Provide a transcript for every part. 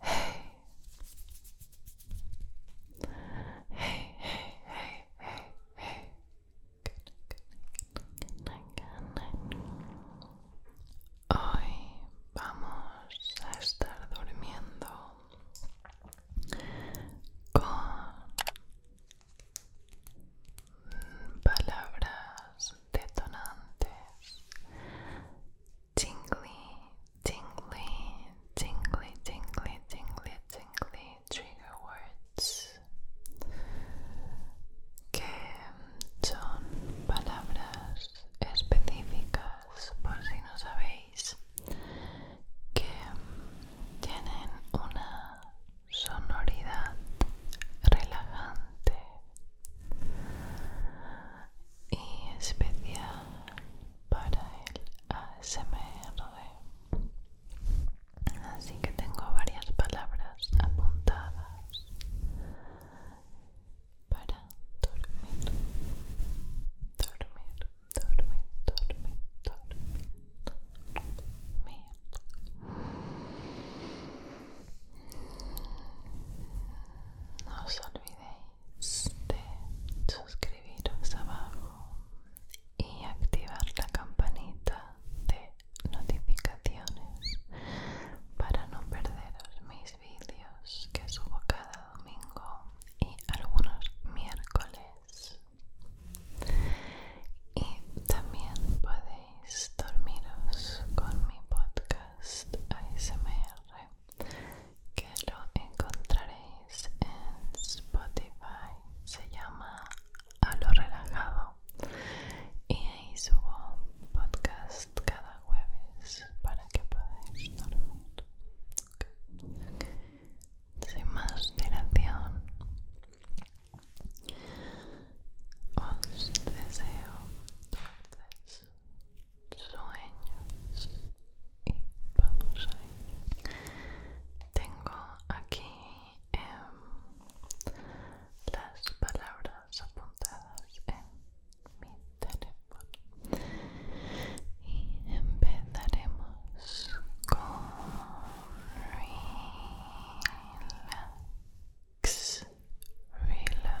Hey. Hey, hey, hey, Hoy vamos a estar durmiendo con palabras detonantes, tingly, tingly, tingly, tingly, tingly, tingly trigger words que son palabras específicas por si no sabéis que tienen una sonoridad relajante y especial para el ASMR. Así que tengo varias palabras apuntadas para dormir, dormir, dormir, dormir, dormir, dormir. No os olvidéis de suscribiros abajo y activar la campanita de notificaciones para no perderos mis vídeos que subo cada domingo y algunos miércoles y también podéis dormiros con mi podcast ASMR que lo encontraréis en Spotify. Se llama A lo relajado y ahí subo podcast cada jueves para que podáis dormir. Sin más dilación, os deseo sueños y vamos Tengo aquí em, las palabras apuntadas en mi teléfono y empezaremos con relax, relax, relax.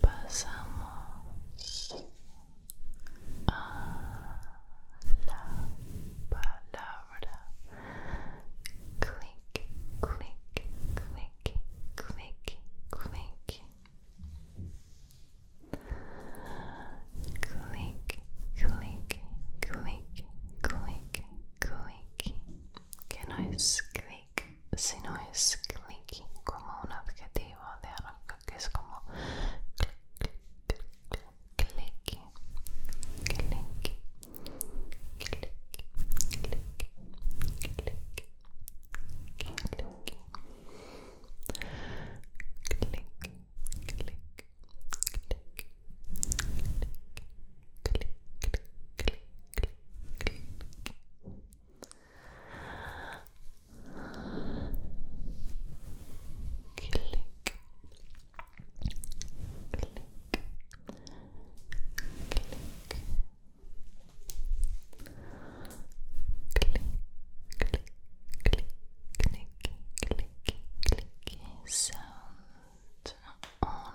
Pasamos a la palabra click, click, click, click, click. Click, click, click, click, click que no es click, sino es clicking, como un objetivo de algo que es como click, click, click, click, click, click, click. Click, click, click, click click click click sound on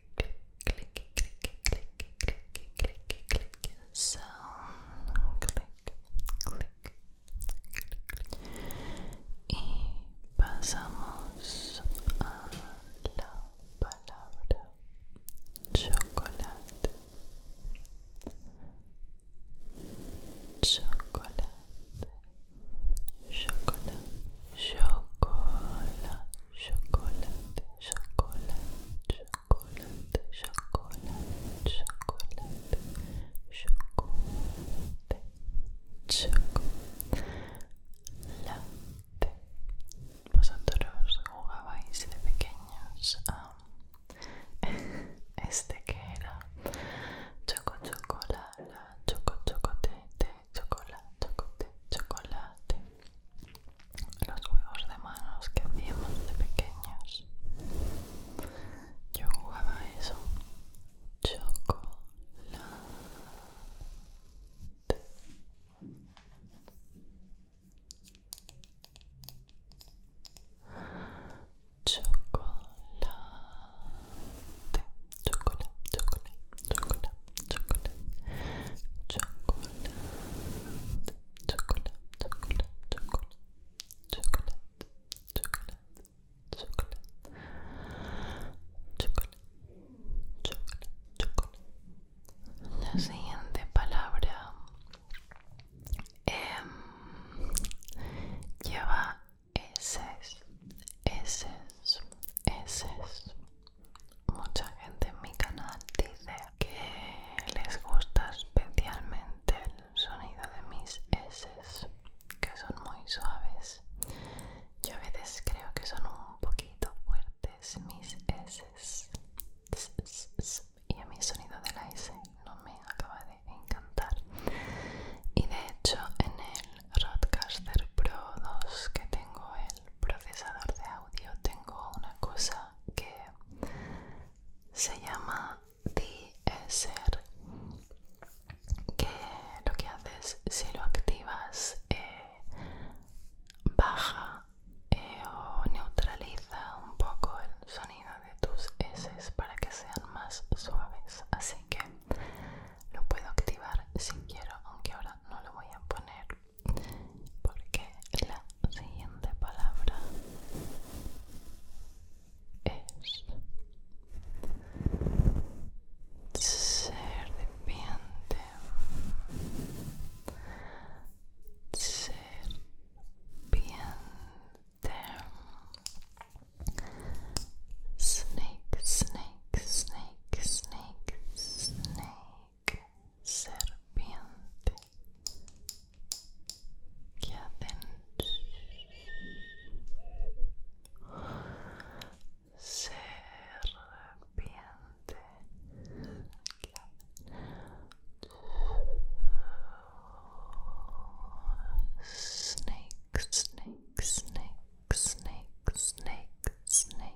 click, click, click, click, click, click, click, clic, click, click, y pasamos a la palabra chocolate, chocolate, chocolate, chocolate, chocolate, chocolate chocolate, chocolate, chocolate, chocolate, chocolate. Vosotros jugabais de pequeños a este que era choco chocolate, choco chocolate, chocolate, chocolate, chocolate los huevos de manos que hacíamos de pequeños. Yo jugaba eso. Chocolate. Chocolate. Chocolate, chocolate, chocolate, chocolate. Chocolate chocolate, chocolate, chocolate, chocolate, chocolate, chocolate, chocolate, chocolate, chocolate. La siguiente palabra lleva S, S, S, mucha gente en mi canal dice que les gusta especialmente el sonido de mis S, que son muy suaves. Yo a veces creo que son un poquito fuertes mis S. Y a mí el sonido de la S no me acaba de encantar. Y de hecho en el Roadcaster Pro 2 que tengo el procesador de audio tengo una cosa que se llama DSR que lo que haces si lo activas eh, baja eh, o neutraliza un poco el sonido de tus S para que sean más suaves así que lo puedo activar si quiero aunque ahora no lo voy a poner porque la siguiente palabra es serpiente serpiente snake snake snake snake snake serpiente que hacen serpiente que hacen snake snake snake snake snake snake snake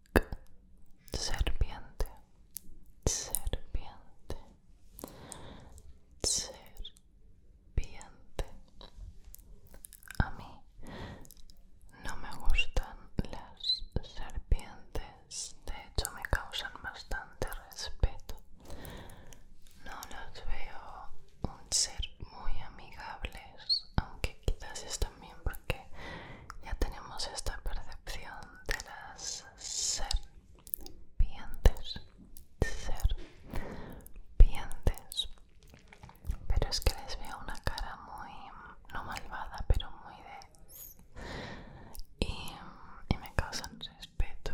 serpiente, serpiente, serpiente. A mí no me gustan las serpientes, de hecho me causan bastante respeto. No los veo un ser muy amigables, aunque quizás es también porque ya tenemos esta percepción de las serpientes, serpientes. Pero es que les veo una cara muy, no malvada, pero muy de... Y, y me causan respeto,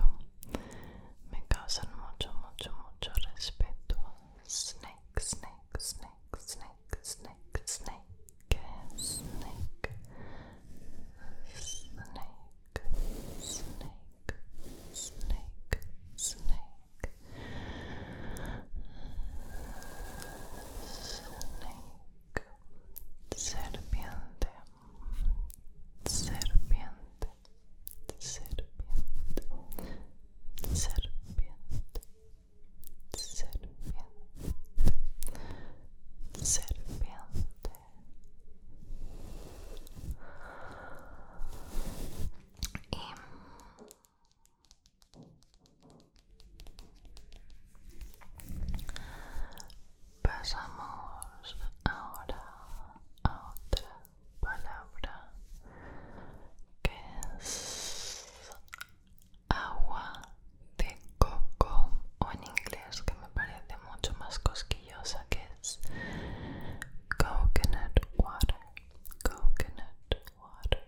me causan mucho, mucho, mucho respeto. Snake, snake, snake. snake, snake, snake, snake, snake, snake, snake, snake, snake, snake, serpiente, serpiente, serpiente, serpiente. Serpiente, serpiente, serpiente. Y pasamos ahora a otra palabra que es agua de coco o en inglés que me parece mucho más cosquillosa que es coconut water coconut water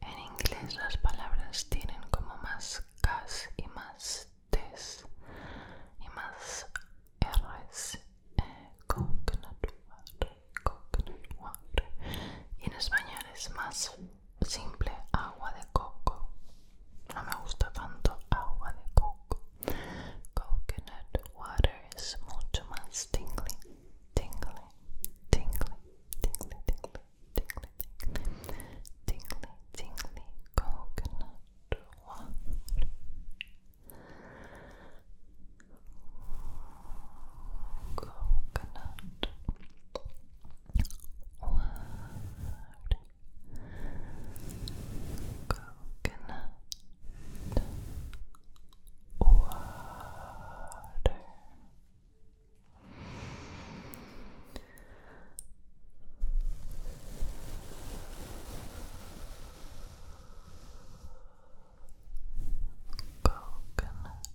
en inglés las palabras tienen como más cas y más tes y más r's eh, coconut water coconut water y en español es más simple agua de coco no me gusta tanto agua de coco coconut water es mucho más tingly tingly tingly tingly tingly tingly tingly tingly tingly coconut water coconut word coconut water coconut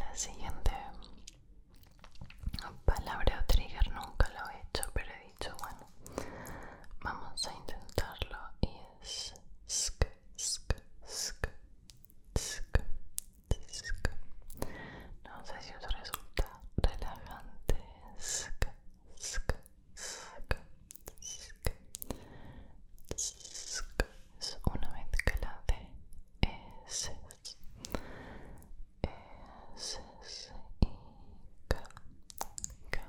La siguiente palabra o trigger nunca lo he hecho, pero he dicho, bueno, vamos a intentarlo y es sk, No sé si os resulta relajante. es una mezcla de eses, eses y k, k, k,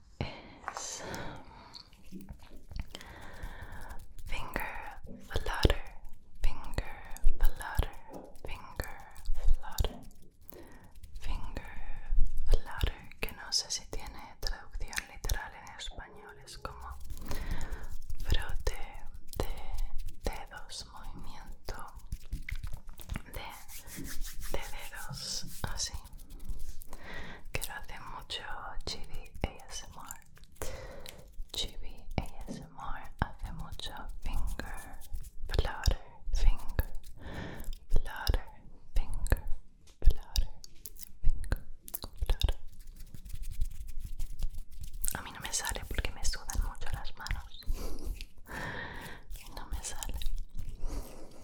Es finger flutter, finger flutter, finger flutter, finger flutter, que no sé si tiene traducción literal en español, es como frote de dedos, movimiento de dedos así. Quiero hacer mucho Chibi ASMR. Chibi ASMR hace mucho finger, flutter, finger, flutter, finger, flutter, finger, flutter. A mí no me sale porque me sudan mucho las manos. No me sale.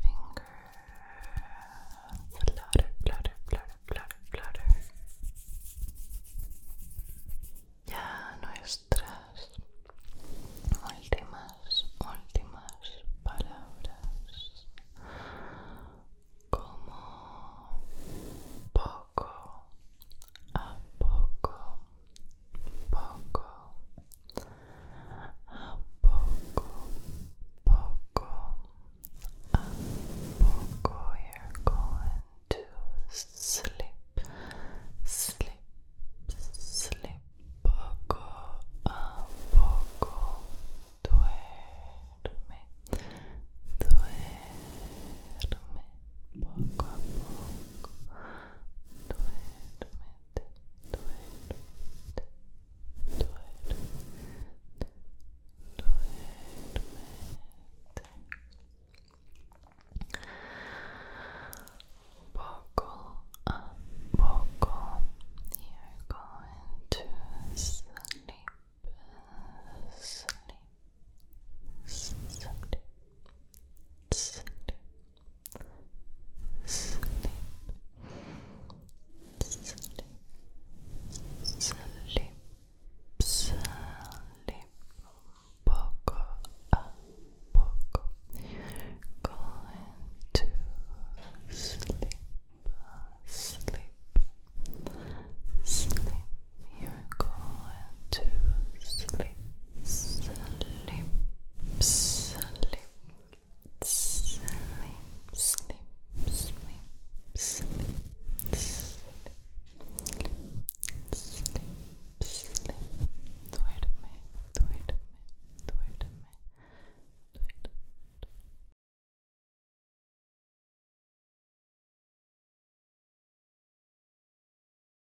finger, flutter, flutter, flutter, flutter, flutter. Ya nuestras últimas, últimas palabras. Como poco a poco, poco a poco, poco, a poco you're going to sleep, sleep, sleep, poco, a poco, duerme, duerme, poco poco, duerme, Buckle up, buckle. You're going to sleep, sleep, sleep, sleep, sleep, sleep, sleep, sleep, sleep, poco a poco, going to sleep, sleep, sleep, you're going to sleep, sleep, sleep sleep, sleep, sleep, sleep, sleep, sleep, sleep, sleep. Duerme, duerme, duerme, duerme.